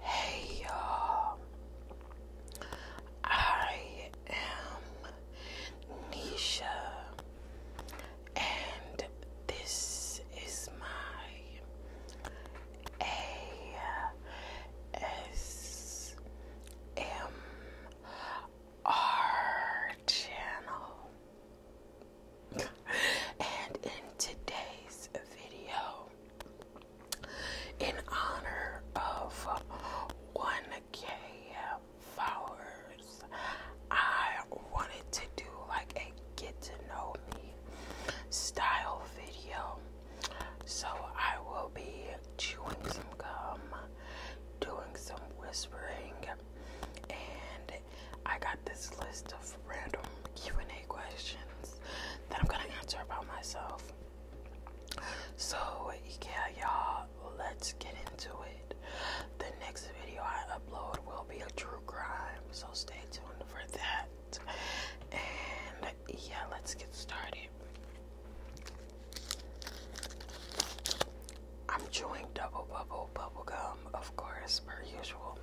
Hey y'all, I am Nisha, and this is my ASMR channel and in today's video, in honor of 1k followers, I wanted to do like a get to know me style video. So I will be chewing some gum, doing some whispering, and I got this list of random Q&A questions that I'm gonna answer about myself. So yeah, y'all, let's get into it. The next video I upload will be a true crime, so stay tuned for that. And yeah, let's get started. I'm chewing double bubble bubble gum, of course, per usual.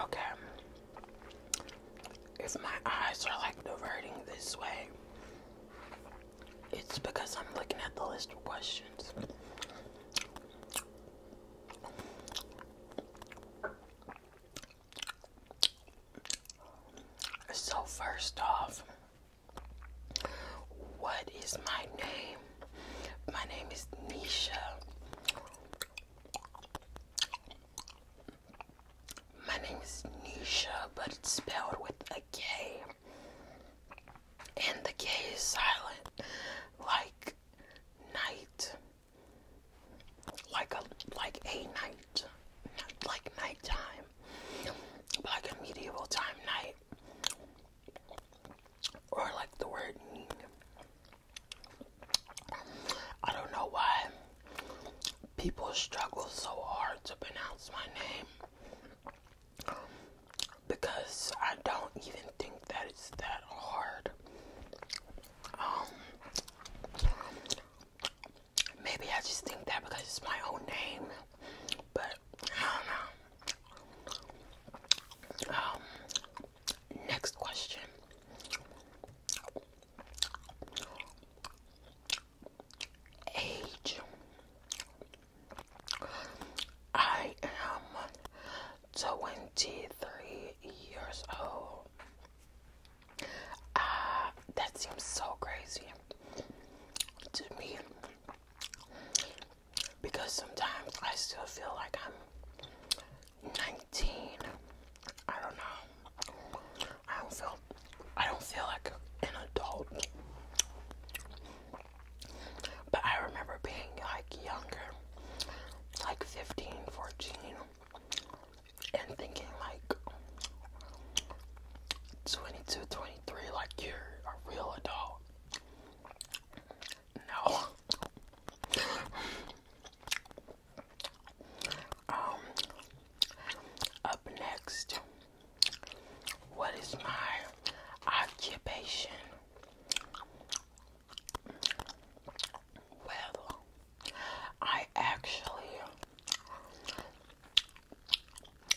Okay, if my eyes are like diverting this way, it's because I'm looking at the list of questions. So, first off, what is my name? My name is Nisha. My name is Nisha, but it's spelled with a K. And the K is silent, like night like a like a night, not like nighttime, like a medieval time night, or like the word. I don't know why people struggle so hard to pronounce my name because I don't even think that it's that hard. Um, Maybe I just think that because it's my own name, but I don't know. Um, next question. Age. I am 23 years old. Uh, that seems so crazy to me because sometimes I still feel like I'm 19. I don't know. I don't feel I don't feel like an adult. But I remember being like younger, like 15, 14 and thinking like twenty two, twenty three, like you're a real adult. No. um, up next, what is my occupation? Well, I actually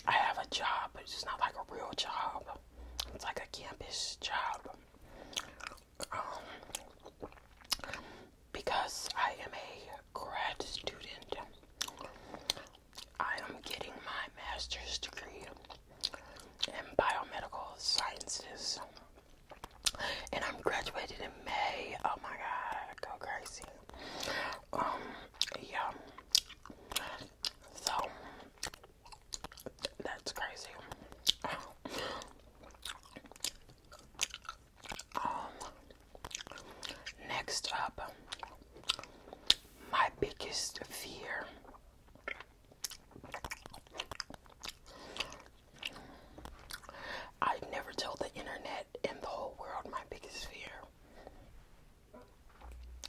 I have a job, but it's not like a real job. It's like a campus job. Um, because I am a grad student, I am getting my master's degree in biomedical sciences and I'm graduating in May. Oh my god, go crazy. Um, yeah. So that's crazy. Um, next up, my biggest fear I'd never told the internet and the whole world my biggest fear.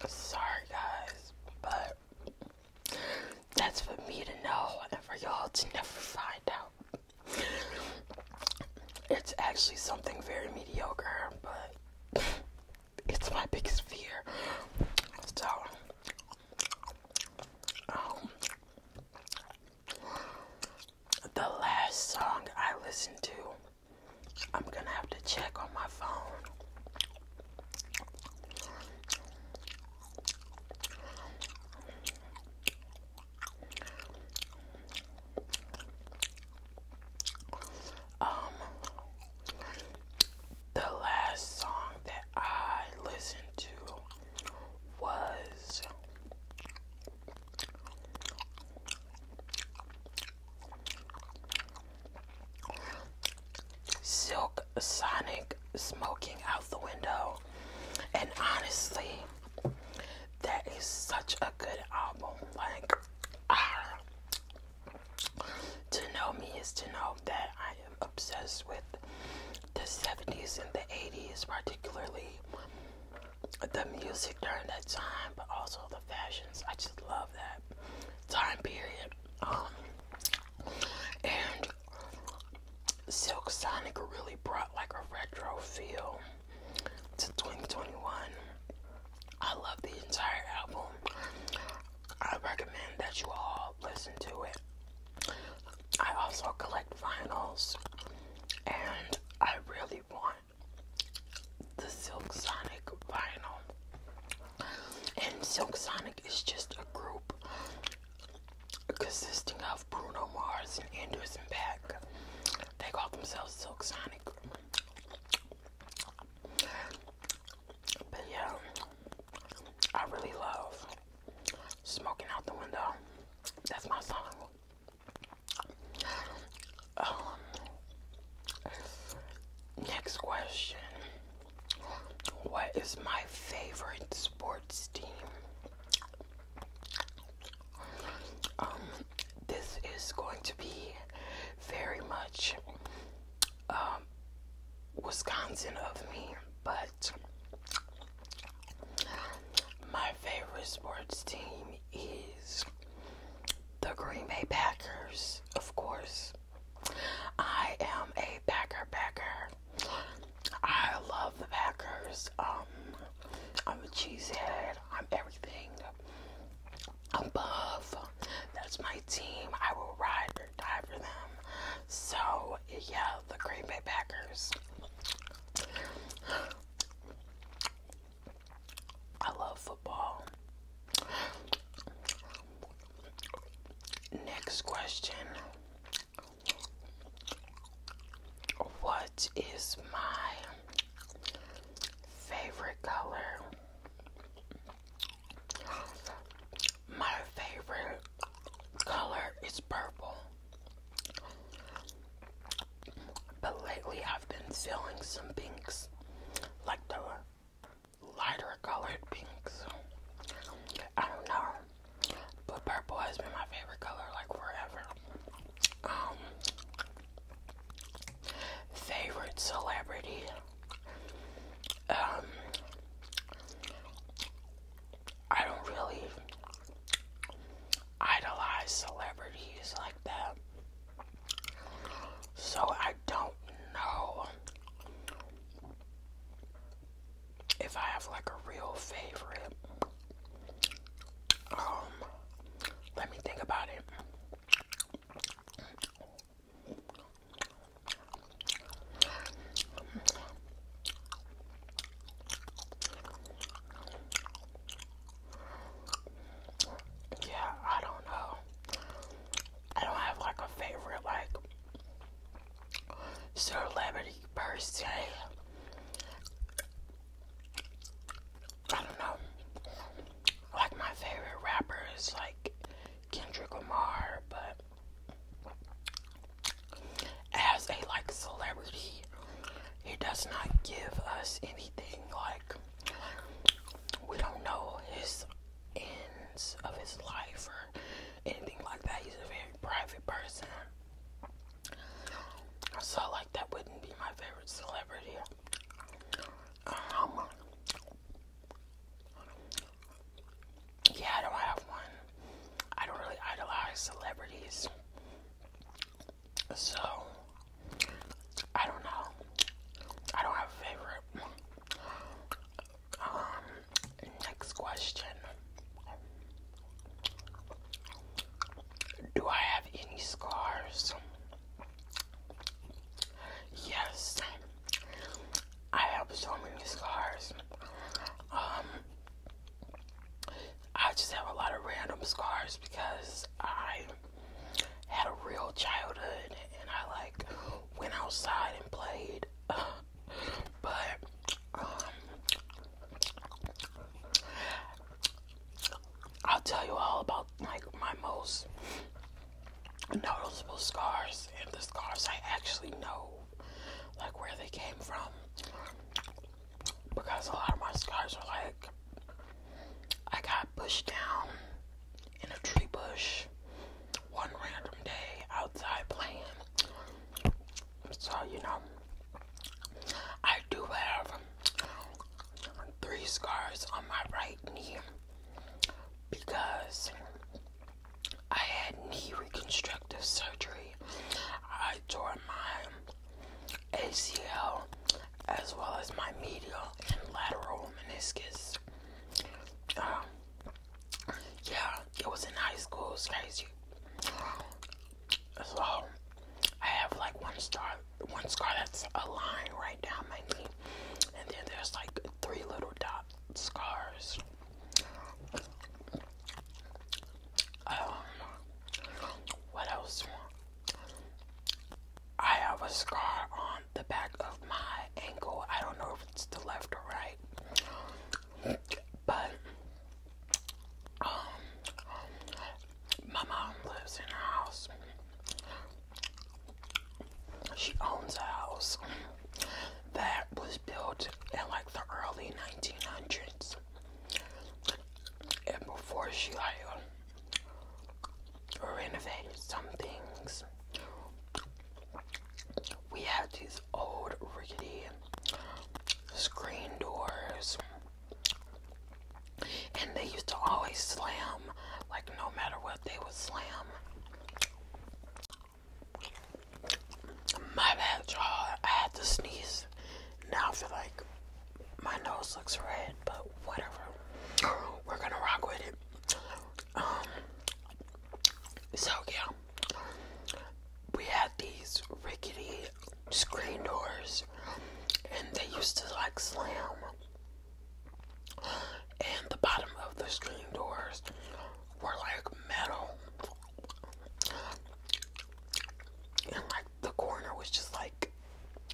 Sorry, guys, but that's for me to know and for y'all to never find out. It's actually something very mediocre, but it's my biggest fear. So, um, the last song I listened to, I'm gonna have to check on my phone. Um, the last song that I listened to was Silk Sonic smoking out the window. And honestly, that is such a good album. Like, ah. to know me is to know that I am obsessed with the 70s and the 80s, particularly the music during that time, but also the fashions. I just love that time period. Um, and Silk Sonic really brought like a retro feel to 2021. I love the entire album. I recommend that you all listen to it. I also collect vinyls, and I really want the Silk Sonic vinyl. And Silk Sonic is just a group consisting of Bruno Mars and Anderson Paak. They call themselves Silk Sonic. But yeah, I really love Smoking Out the Window. That's my song. Um, next question. What is my favorite sports team? Um, this is going to be very much um, Wisconsin of me, but my favorite sports team is the Green Bay Packers, of course. I am a Packer Packer. I love the Packers. Um, I'm a cheesehead. I'm everything above. That's my team. I will ride or die for them. So, yeah, the Green Bay Packers. I love football. Next question. What is my favorite color? My favorite color is purple. But lately I've been feeling some pinks, like the lighter colored pinks. I don't know, but purple has been my favorite color like forever. Um, favorite celebrity. Um, I don't really idolize celebrities like that. So I don't know if I have like a real favorite. Um, let me think about it. Yeah, I don't know. I don't have like a favorite like celebrity per se. I don't know. Like my favorite rapper is like Kendrick Lamar, but as a like celebrity he does not give us anything like we don't know his ends of his life or anything like that. He's a very private person. So like that wouldn't be my favorite celebrity. Um, yeah, I don't have one. I don't really idolize celebrities. So, I don't know. I don't have a favorite. Um, next question. Do I have any scars? Yes. I have so many scars. Um, I just have a lot of random scars because I had a real childhood and I like went outside and played. but um, I'll tell you all about like my most noticeable scars and the scars I actually know, like where they came from because a lot of my scars are like I got pushed down in a tree bush one random day outside playing. So, you know, I do have three scars on my right knee because I had knee reconstructive surgery. I tore my ACL as well as my medial and lateral meniscus. Um, yeah, it was in high school, it's crazy. So I have like one star, one scar that's a line right down my knee, and then there's like three little dot scars. Um, what else? I have a scar on the back of my ankle. I don't know if it's the left or right, but um, my mom lives in a house. She owns a house that was built in like the early 1900s. And before she like renovated some things, we had these old rickety screen doors. And they used to always slam, like no matter what, they would slam. My bad, y'all. I had to sneeze. Now I feel like my nose looks red, but whatever. We're gonna rock with it. Um, so yeah, we had these rickety screen doors, and they used to like slam. And the bottom of the screen doors were like metal, and like the corner was just like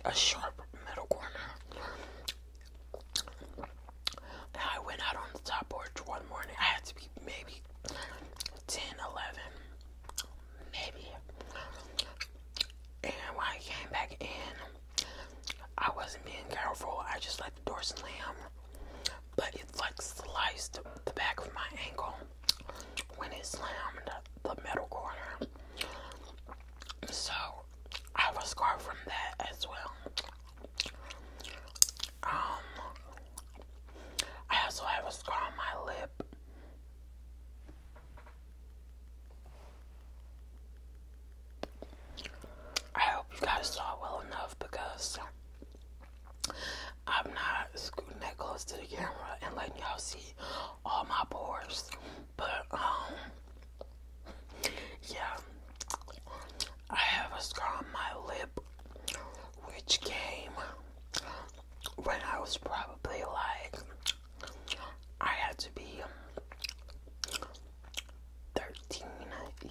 a sharp metal corner. I went out on the top porch one morning. I had to be maybe 10, maybe. And when I came back in, I wasn't being careful. I just let the door slam. But it like sliced the back of my ankle when it slammed the middle corner. So I was scarred from that as well. Um, I also have a scar on my lip. I hope you guys saw well enough because I'm not scooting that close to the camera and letting y'all see all my pores. But um yeah. I have a scar on my lip which came when I was probably like I had to be 13,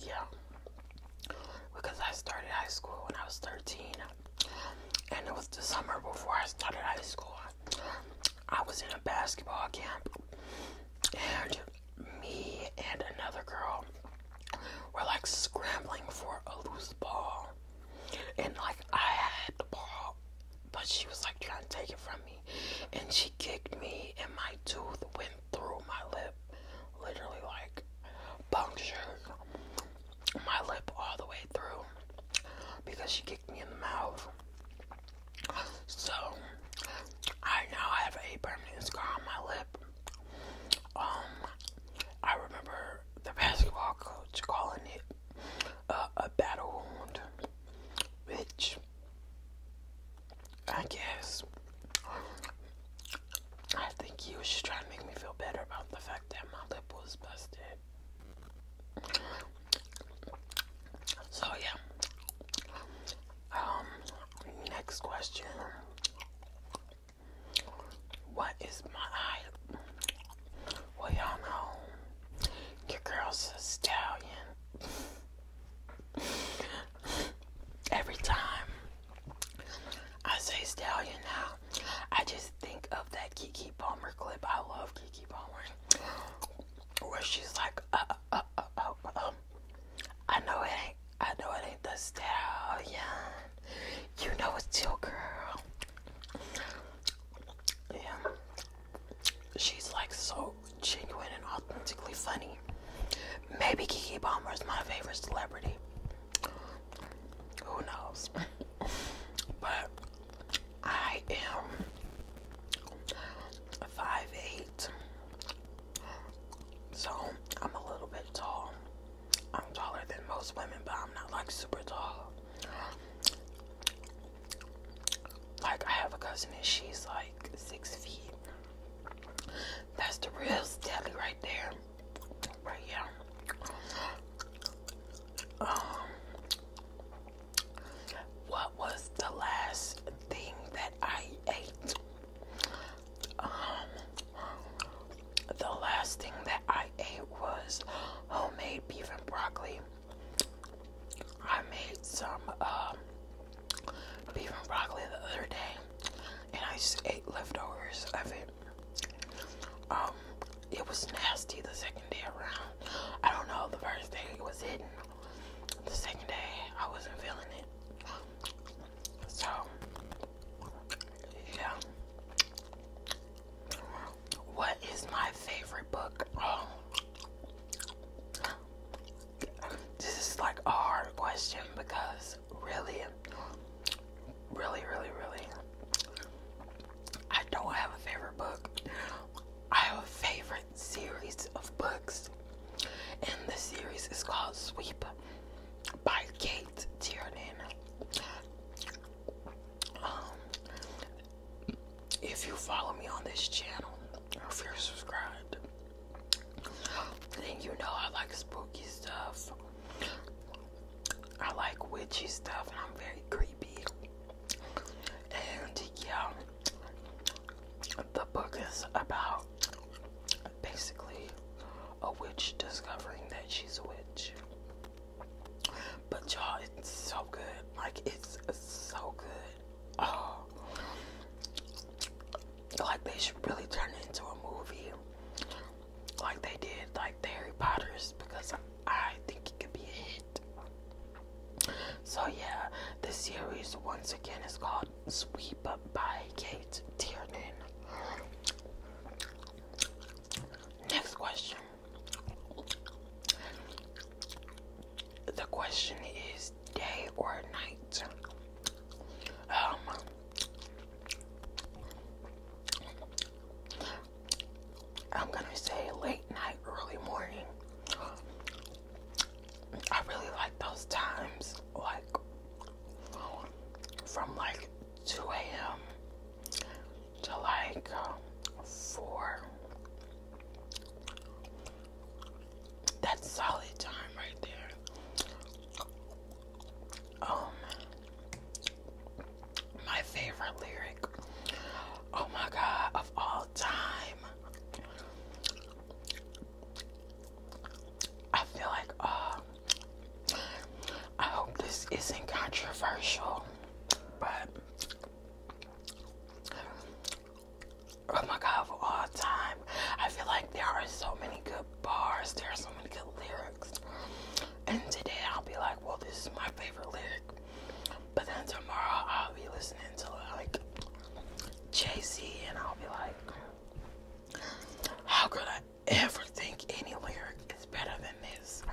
yeah. Because I started high school when I was 13. And it was the summer before I started high school. I was in a basketball camp, and me and another girl were like scrambling for a loose ball. And like, I had the ball, but she was like trying to take it from me. And she kicked me, and my tooth went through my lip, literally like punctured my lip all the way through because she me in the mouth. So I now have a permanent scar on my lip. Um, I remember the basketball coach calling it a battle wound, which I guess I think you should try to make me feel better about the fact that my lip was busted. So yeah. Um next question. What is my eye? Well y'all know your girl's a stallion. Every time I say stallion now, I just think of that Kiki Palmer clip. I love Kiki Palmer where she's like, uh, uh, uh, um, I know it ain't, I know it ain't the stallion. You know it's your girl. Yeah. She's like so genuine and authentically funny. Maybe Kiki Bomber is my favorite celebrity. Who knows? but I am five eight, so I'm a little bit tall. I'm taller than most women, but I'm not like super tall. Like I have a cousin and she's like six feet. That's the real Stanley right there. Right here. Um, what was the last thing that I ate? Um, the last thing that I ate was homemade beef and broccoli. I made some um, beef and broccoli the other day, and I just ate leftovers of it. Um, it was nasty the second day around. I don't know, the first day it was hidden. The second day I wasn't feeling it. So yeah. What is my favorite book? Oh. This is like a hard question because really really really really I don't have a favorite book. I have a favorite series of books, and the series is called Sweep by Kate Tiernan. Um, if you follow me on this channel, or if you're subscribed, then you know I like spooky stuff. I like witchy stuff, and I'm very creepy. And yeah, the book is about basically a witch discovering that she's a witch. But y'all, it's so good. Like, it's so good. Oh. Like, they should really turn it into a movie. Like they did, like Harry Potters, because I think it could be a hit. So yeah, the series once again is called Sweep Up by Kate Tiernan. Next question. The question is day or night? Um I'm gonna say late night, early morning. I really like those times, like from like 2 a.m. to like um, 4. That's solid time right there. Um, my favorite lyric Oh my God, of all time. I feel like, uh, I hope this isn't controversial, but oh my God, of all time, I feel like there are so many good bars, there are so many good lyrics, and today I'll be like, well, this is my favorite lyric. But then tomorrow I'll be listening to like J C, and I'll be like, how could I ever think any lyric is better than this?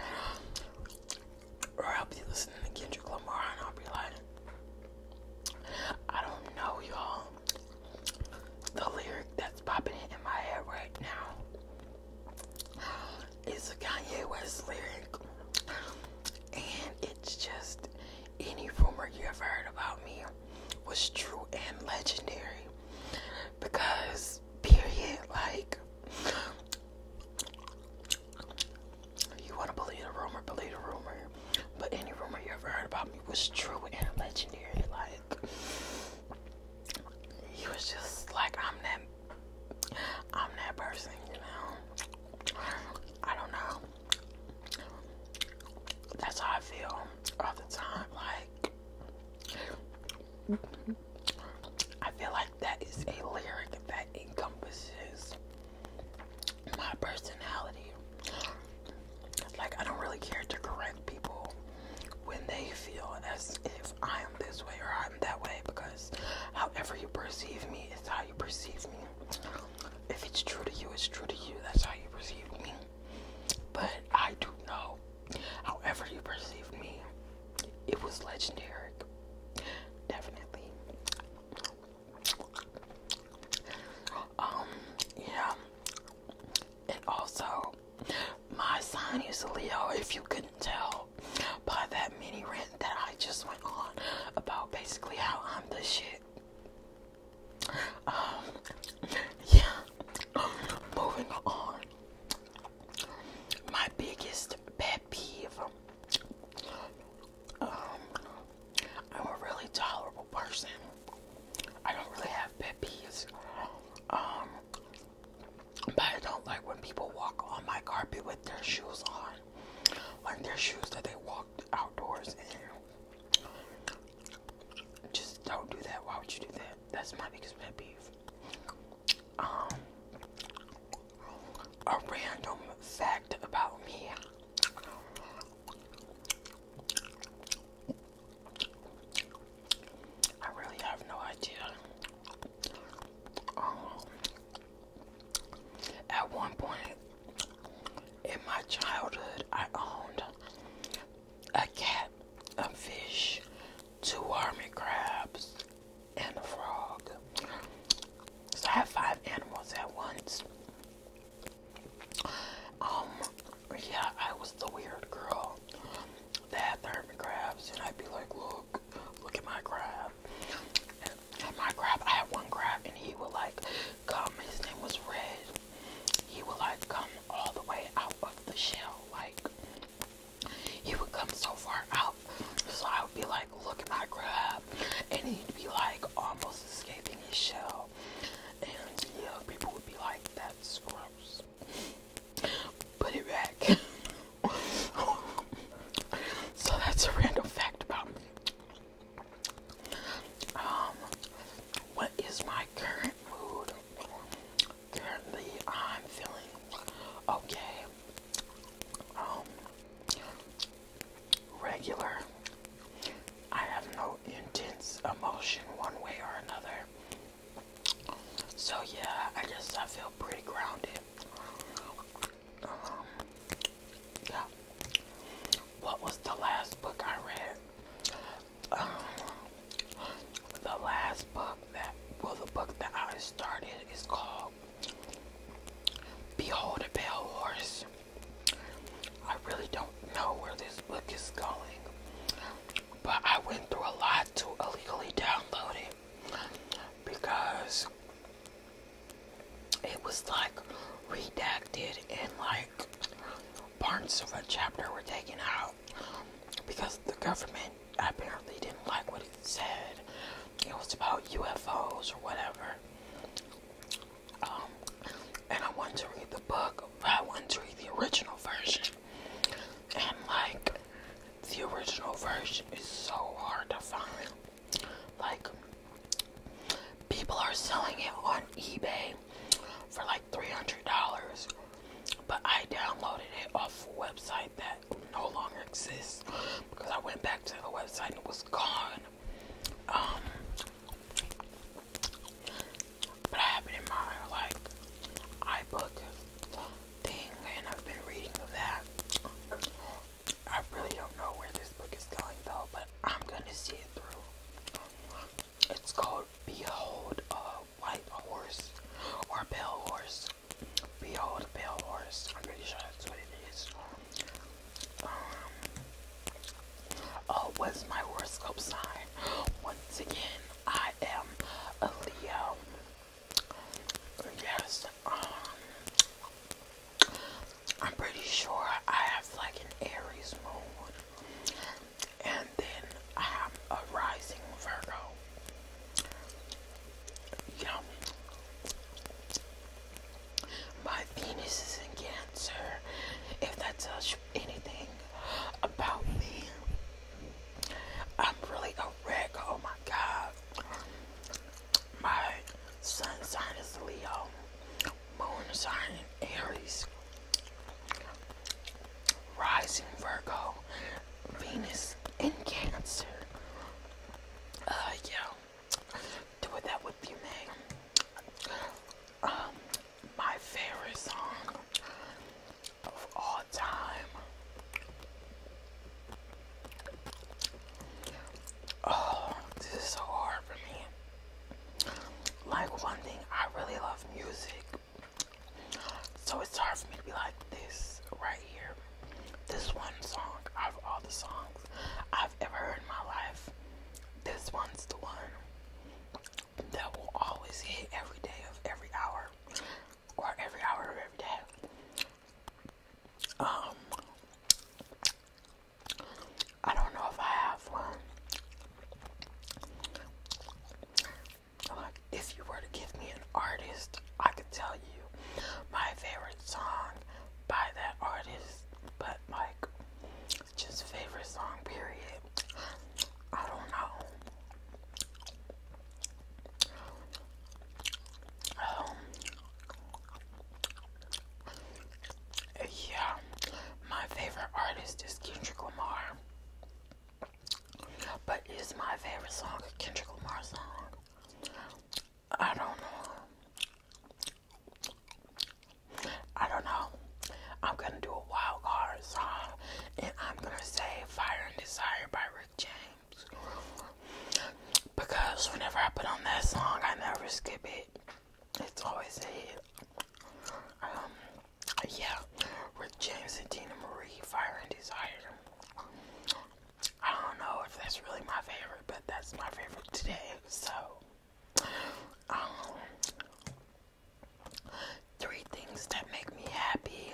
Or I'll be listening to Kendrick Lamar and I'll be like, I don't know, y'all. The lyric that's popping in my head right now it's a Kanye West lyric, and it's just any rumor you ever heard about me was true and legendary because, period, like. You want to believe a rumor, believe a rumor. But any rumor you ever heard about me was true and legendary. Like, you was just like, I'm that I'm that person, you know. I don't know. That's how I feel all the time. Like, I feel like that is a lyric that encompasses my personality. Like, I don't really care to correct people when they feel as if I am this way or that way because however you perceive me is how you perceive me. If it's true to you, it's true to you. That's how you perceive me. But I do know, however you perceive me, it was legendary. Definitely. Um, yeah. And also, my sign is Leo, if you couldn't tell by that mini rant that I just went on about basically how I'm the shit. Um, yeah, moving on. My biggest pet peeve. Um, I'm a really tolerable person. I don't really have pet peeves. Um, but I don't like when people walk on my carpet with their shoes on like their shoes that they walk outdoors in. Just don't do that. Why would you do that? That's my biggest pet peeve. Um, a random fact about me. I really have no idea. Um, at one point in my childhood, I owned a cat, a fish, two army crabs, and a frog. So I had five animals at once. Um, yeah, I was the weird girl that had the hermit crabs, and I'd be like, look, look at my crab my crab, I had one crab, and he would like come. His name was Red. He would like come all the way out of the shell. Like he would come so far out, so I would be like, "Look at my crab," and he'd be like almost escaping his shell. And yeah, people would be like, "That's gross." Put it back. so that's a random fact about me. Um, what is my current mood? Currently, I'm feeling okay. Um, regular. I have no intense emotion one way or another. So, yeah, I guess I feel pretty grounded. What was the last book I read? Um, the last book that, well, the book that I started is called Behold a Pale Horse. I really don't know where this book is going, but I went through a lot to illegally download it because it was like redacted and like parts of a chapter were taken out because the government apparently didn't like what it said. It was about UFOs or whatever. Um, and I want to read the book, but I want to read the original version. And like, the original version is so hard to find. Like, people are selling it on eBay for like $300, but I downloaded it off a website that no longer exists because I went back to the website and it was gone. Um, but I have it in my like iBook thing, and I've been reading that. I really don't know where this book is going though, but I'm gonna see it through. it's called Behold a White Horse or "Pale Horse. Behold a pale Horse. I'm pretty sure that's what it is. Um, oh, what's my horoscope sign? Once again, I am a Leo. Yes, um, I'm pretty sure I have like an Aries moon, and then I have a rising Virgo. You know, my Venus is in Cancer. If that tells you anything about me, I'm really a reg. Oh my god my sun sign is Leo, moon sign Aries, rising Virgo, Venus in Cancer. Uh, yeah, do that with you, man. Um, my favorite song of all time Oh, this is so hard for me. Like one thing, I really love music. So it's hard for me to be like this right here. This one song of all the songs I've ever heard in my life, this one's the one that will always hit every day of every hour or every hour of every day. Um I don't know if I have one. Like, if you were to give me an artist, I could tell you my favorite song by that artist, but like, just favorite song, period. I don't know. Um, yeah, my favorite artist is Kendrick Lamar. But is my favorite song a Kendrick Lamar song? I don't know. I don't know. I'm gonna do a wild card song and I'm gonna say Fire and Desire by Rick James. Because whenever I put on that song, I never skip it it's always a hit. Um, yeah with James and Tina Marie Fire and Desire. I don't know if that's really my favorite, but that's my favorite today. So um, three things that make me happy.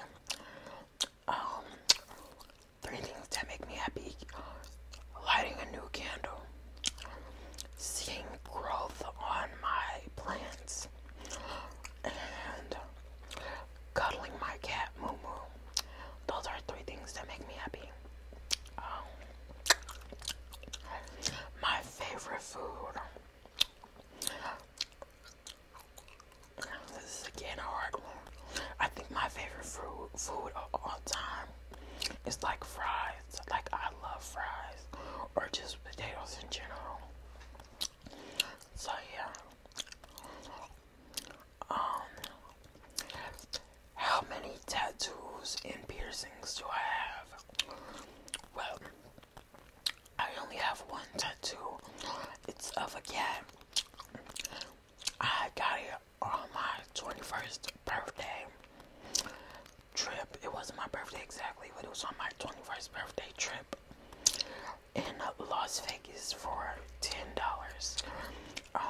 Um, three things that make me happy lighting a new candle, seeing growth on my plants, and cuddling my cat Moo Moo. Those are three things that make me happy. Um, my favorite food. This is again a hard one. I think my favorite food food of all time it's like fries. Like I love fries or just potatoes in general. So yeah. Um how many tattoos and piercings do I have? Well, I only have one tattoo. It's of a cat. I got it on my 21st birthday trip. It wasn't my birthday exactly, but it was on my 21st birthday trip in Las Vegas for $10. Um,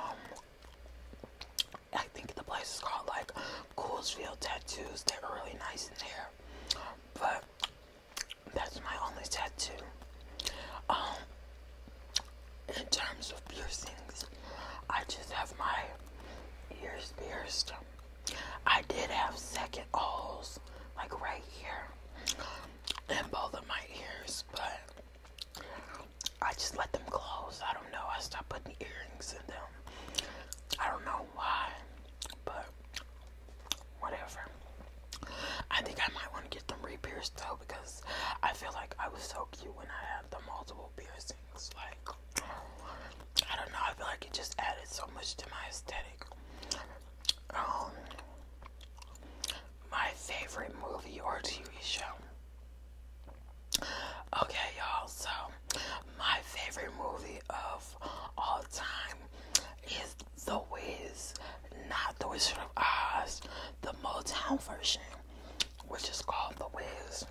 I think the place is called like Coolsville Tattoos. They're really nice in there, but that's my only tattoo. Um, in terms of piercings, I just have my ears pierced. I did have second holes, like right here, in both of my ears, but I just let them close. I don't know. I stopped putting earrings in them. I don't know why, but whatever. I think I might want to get them re-pierced though because I feel like I was so cute when I had the multiple piercings. It's like, I don't know, I feel like it just added so much to my aesthetic. Um, my favorite movie or TV show. Okay, y'all, so my favorite movie of all time is The Wiz, not The Wizard of Oz, the Motown version which is called The Wiz.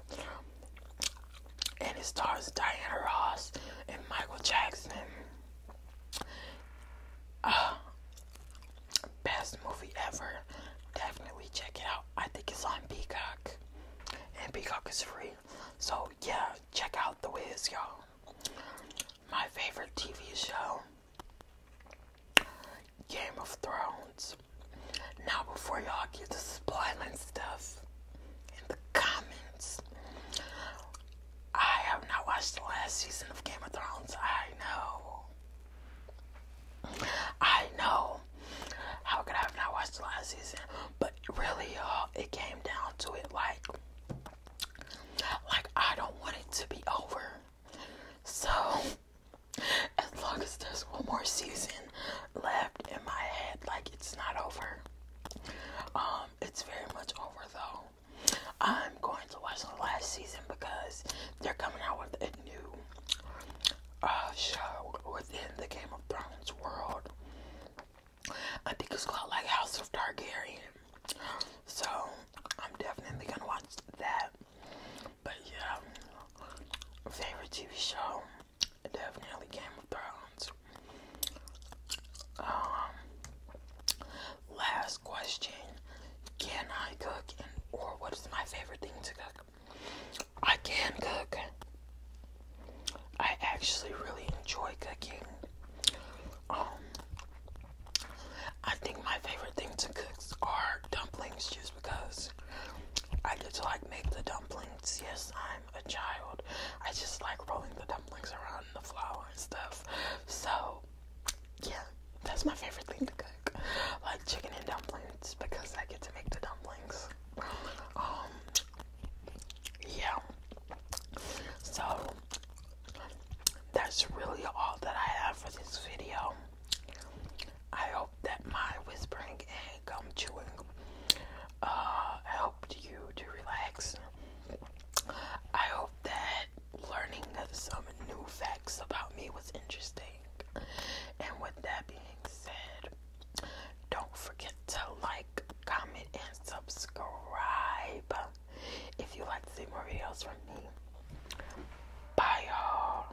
And it stars Diana Ross and Michael Jackson. Uh, best movie ever. Definitely check it out. I think it's on Peacock. And Peacock is free. So, yeah, check out The Wiz, y'all. My favorite TV show Game of Thrones. Now, before y'all get to spoiling stuff in the comments, I have not watched the last season of Game of Thrones. I know. I know. How could I have not watched the last season? But really, y'all, it came down to it like, like I don't want it to be over. So as long as there's one more season left in my head, like it's not over. Um, it's very much over though. I'm going to watch the last season because they're coming out with a new uh, show within the Game of Thrones world. I think it's called like House of Targaryen. So I'm definitely gonna watch that. But yeah, favorite TV show. Definitely Game of Thrones. Um, last question. Can I cook and or what is my favorite thing to cook? I can cook. I actually really enjoy cooking. Um, I think my favorite thing to cook are dumplings just because I get to like make the dumplings. Yes, I'm a child. I just like rolling the dumplings around in the flour and stuff. So, yeah, that's my favorite thing to cook. Like chicken and dumplings because I get to make the dumplings. Um, yeah. So, that's really all that I have for this video. I hope that my whispering and gum chewing uh, helped you to relax. I hope that learning some new facts about me was interesting. And with that being said, don't forget to like, comment, and subscribe if you like to see more videos from me. Bye, y'all.